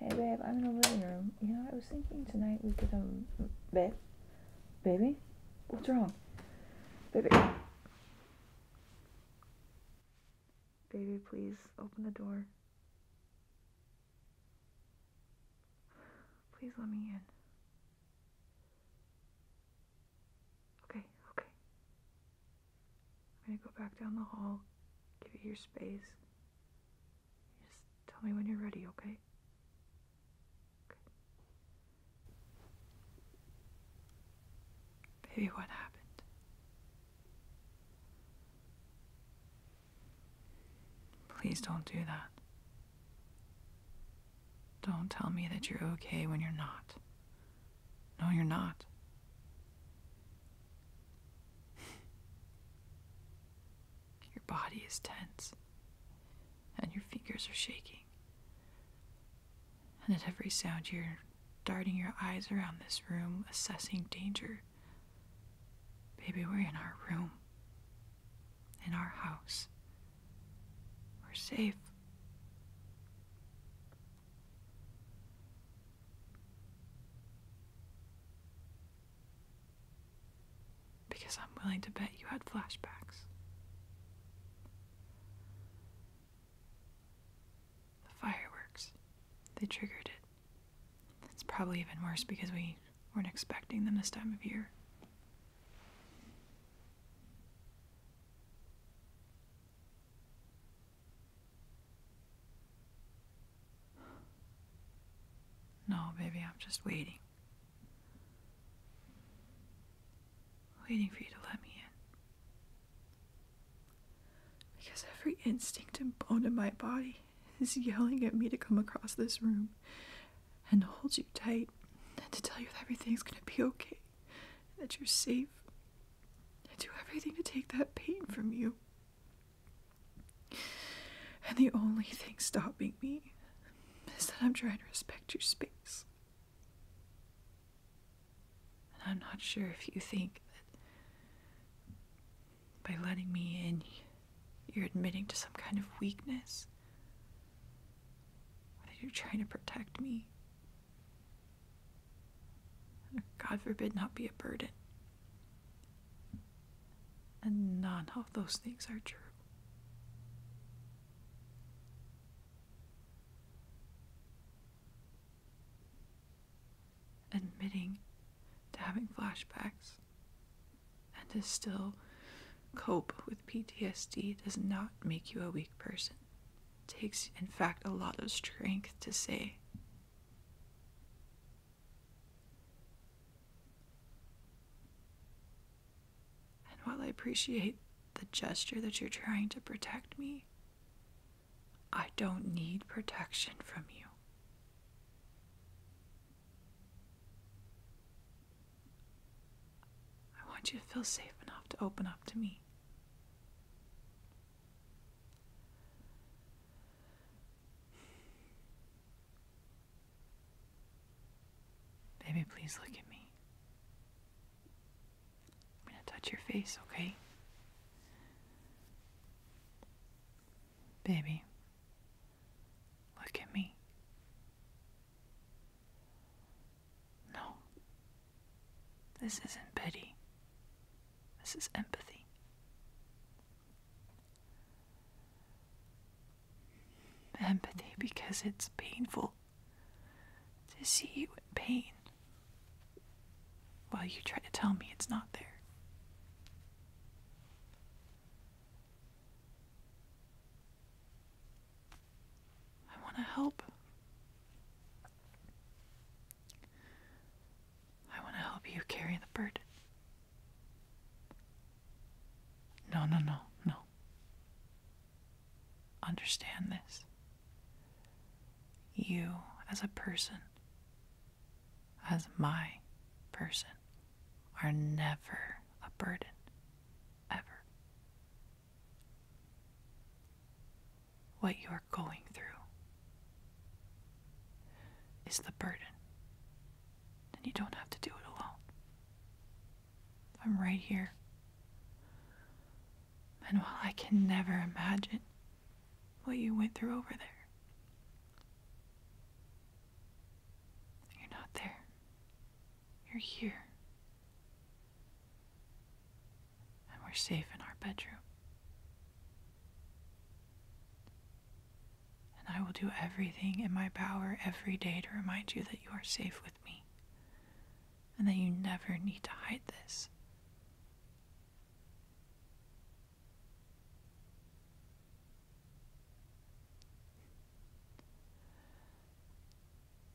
Hey babe, I'm in the living room. You know, I was thinking tonight we could um, babe, baby, what's wrong, baby, baby, please open the door. Please let me in. Okay, okay. I'm gonna go back down the hall, give you your space. Just tell me when you're ready, okay? Okay. Baby, what happened? Please don't do that. Don't tell me that you're okay when you're not. No, you're not. Your body is tense, and your fingers are shaking. And at every sound, you're darting your eyes around this room, assessing danger. Baby, we're in our room, in our house. We're safe. Because I'm willing to bet you had flashbacks. The fireworks, they triggered it. It's probably even worse because we weren't expecting them this time of year. No, baby, I'm just waiting. Waiting for you to let me in. Because every instinct and bone in my body is yelling at me to come across this room and hold you tight and to tell you that everything's gonna be okay, that you're safe, I do everything to take that pain from you. And the only thing stopping me is that I'm trying to respect your space. And I'm not sure if you think that by letting me in, you're admitting to some kind of weakness, or that you're trying to protect me. God forbid, not be a burden. And none of those things are true. Admitting to having flashbacks and to still cope with PTSD does not make you a weak person takes, in fact, a lot of strength to say. And while I appreciate the gesture that you're trying to protect me, I don't need protection from you. I want you to feel safe enough to open up to me. Baby, please look at me. I'm gonna touch your face, okay? Baby, look at me. No. This isn't pity. This is empathy. Empathy because it's painful to see you in pain while you try to tell me it's not there. I want to help. I want to help you carry the burden. No, no, no, no. Understand this. You, as a person, as my person, are never a burden. Ever. What you are going through is the burden, and you don't have to do it alone. I'm right here. And while I can never imagine what you went through over there, You're not there. You're here and we're safe in our bedroom. And I will do everything in my power every day to remind you that you are safe with me and that you never need to hide this.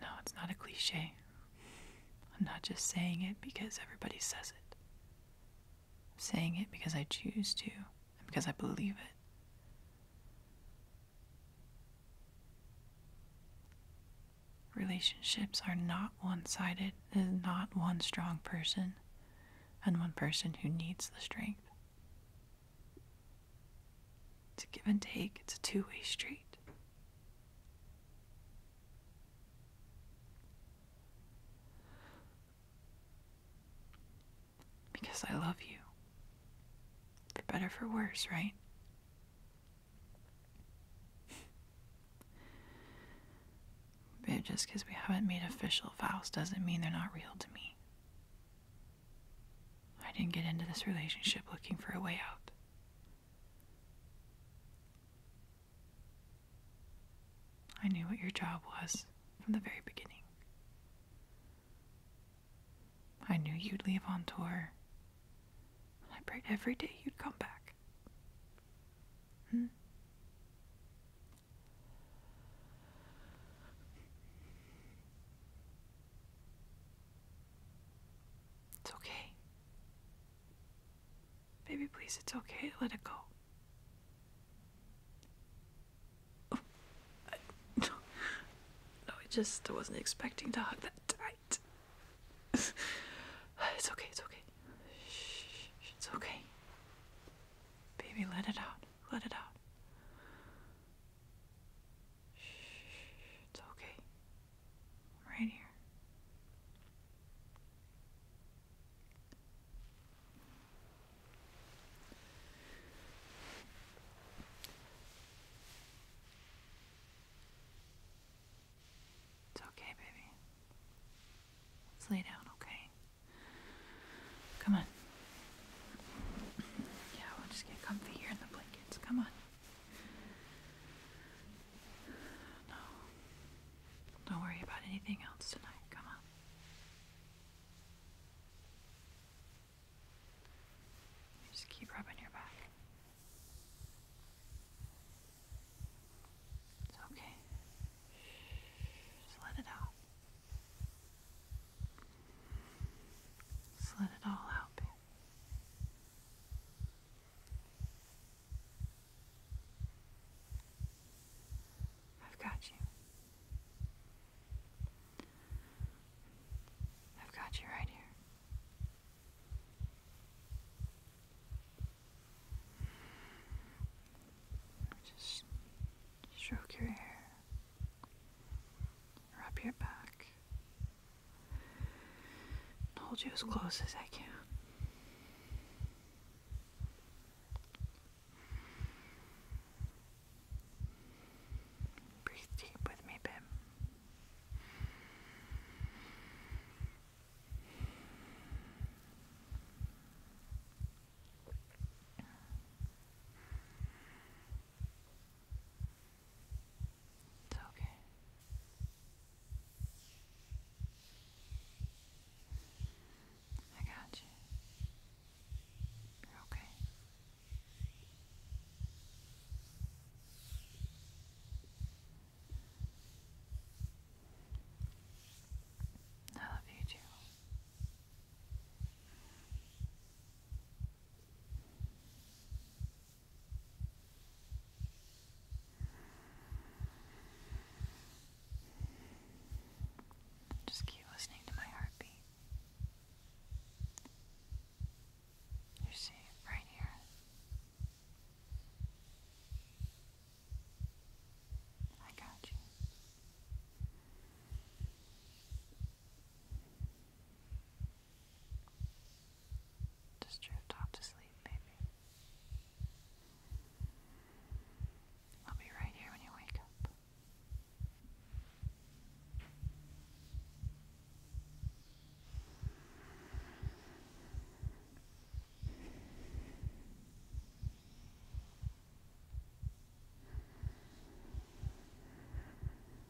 No, it's not a cliche. I'm not just saying it because everybody says it. I'm saying it because I choose to and because I believe it. Relationships are not one sided, there's not one strong person and one person who needs the strength. It's a give and take, it's a two way street. Because I love you. For better, for worse, right? But just because we haven't made official vows doesn't mean they're not real to me. I didn't get into this relationship looking for a way out. I knew what your job was from the very beginning. I knew you'd leave on tour. I prayed every day you'd come back. Hmm? It's okay. Baby, please, it's okay. Let it go. Oh, I, no, no, I just wasn't expecting to hug that tight. it's okay, it's okay. Shh, it's okay. Baby, let it out. Let it out. Shh, it's okay right here. It's okay, baby. Let's lay down, okay? Come on. Yeah, we'll just get comfy here in the blankets. Come on. No. Don't worry about anything else tonight. Come on. Just keep rubbing your back. It's okay. Just let it out. Just let it all out, I've got you. I've got you right here. Just stroke your hair rub your back, and hold you as close as I can. Breathe deep with me, babe. It's okay. I got you. okay. I love you too. Just keep listening to my heartbeat. You see it right here. I got you. Just drift off to sleep, baby. I'll be right here when you wake up.